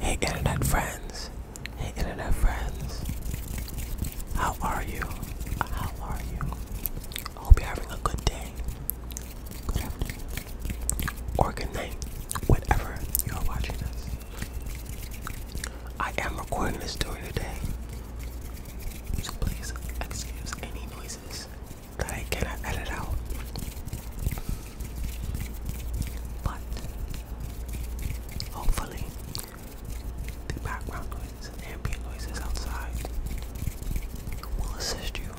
Hey internet friends, hey internet friends, how are you? How are you? I hope you're having a good day, or good night, whenever you are watching this. I am recording this story today, so please excuse any noises that I cannot edit out. But hopefully, the background noises and ambient noises outside will assist you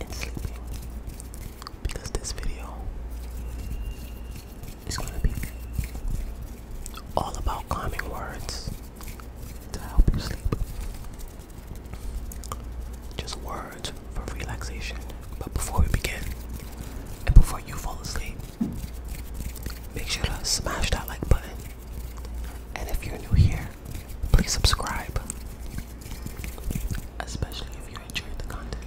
in sleeping because this video is going to be all about calming words to help you sleep. Just words for relaxation. But before we begin, and before you fall asleep, make sure to smash that like button. And if you're new here, please subscribe. Especially if you enjoyed the content.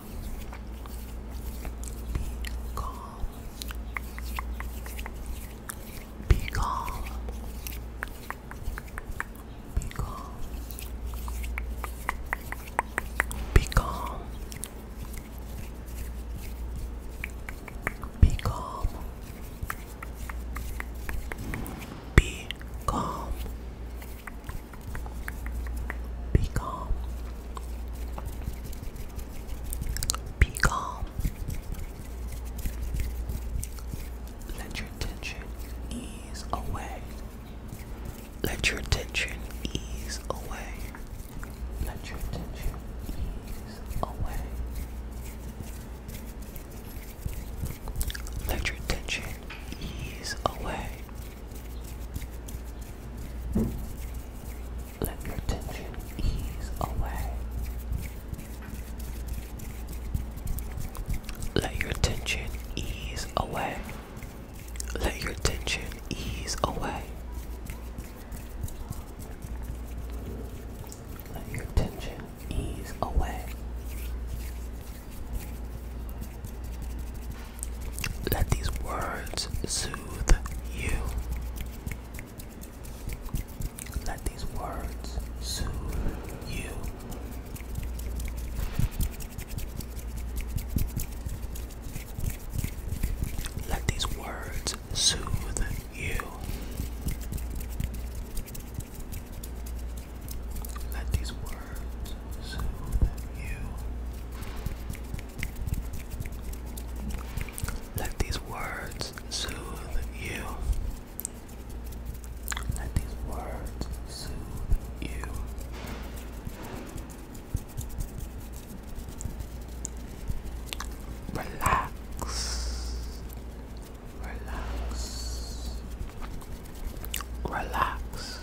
Be calm. Be calm. Be calm. Be calm. Be calm. Be calm. Be calm. Be calm. Let your tension ease away. Let your tension ease away. Let your tension ease away. Let your tension ease away. Let your tension ease away. Let your tension ease away. Let your tension ease away. Let your tension ease away. Let these words soothe you. Let these words soothe you. Let these words soothe you. Let these words words so you let these words soothe you. Let these words soothe you. Relax. Relax. Relax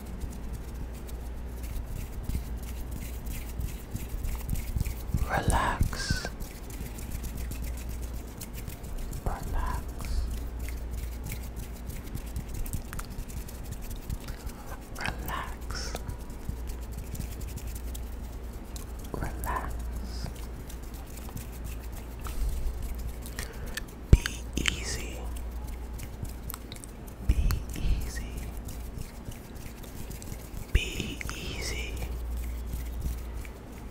Relax. Relax. Relax. Relax. Be easy. Be easy. Be easy.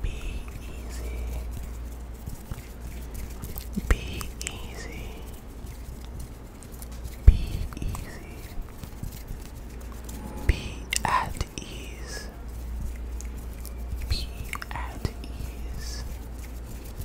Be easy. Be easy. Be at ease. Be at ease.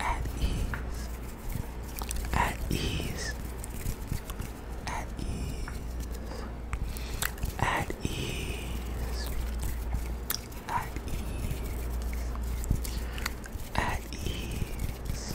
at ease, at ease, at ease, at ease, at ease, at ease, at ease.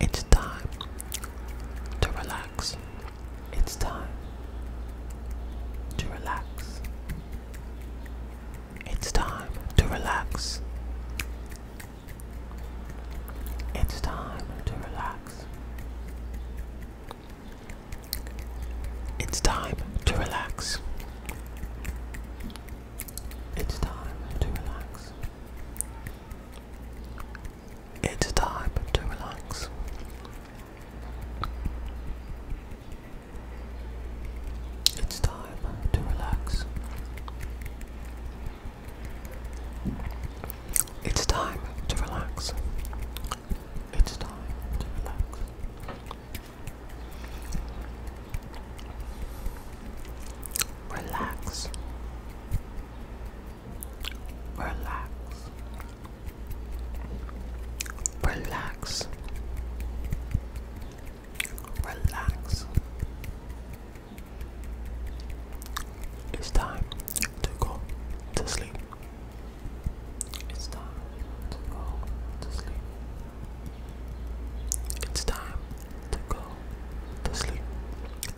It's time to relax. It's time to relax. It's time to relax. It's time to relax. It's time to relax. It's time to relax. It's time to relax. It's time to relax. It's time to relax. It's time to relax. Relax relax, relax, relax. It's time to go to sleep. It's time to go to sleep. It's time to go to sleep.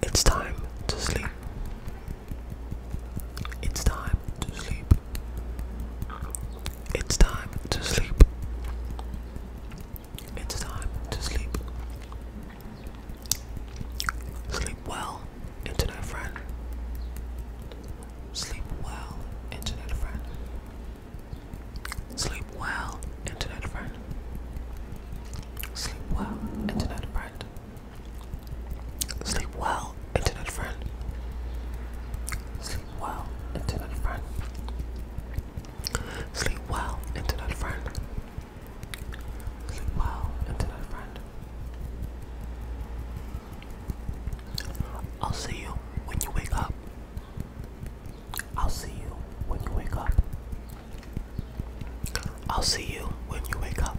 It's time to sleep. It's time to sleep. It's time to sleep. It's time to sleep. Sleep well, internet friend. Sleep well, internet friend. Sleep well, internet friend. Sleep well, internet friend. Sleep well, internet friend. Sleep well, internet friend. Sleep well, internet friend. Sleep well, internet friend. I'll see you when you wake up. I'll see you when you wake up. I'll see you when you wake up.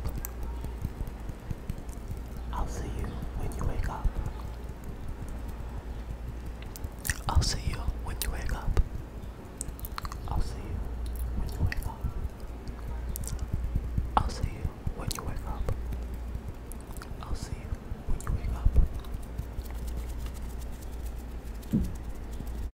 I'll see you when you wake up. I'll see you when you wake up. I'll see you when you wake up. I'll see you when you wake up. I'll see you when you wake up.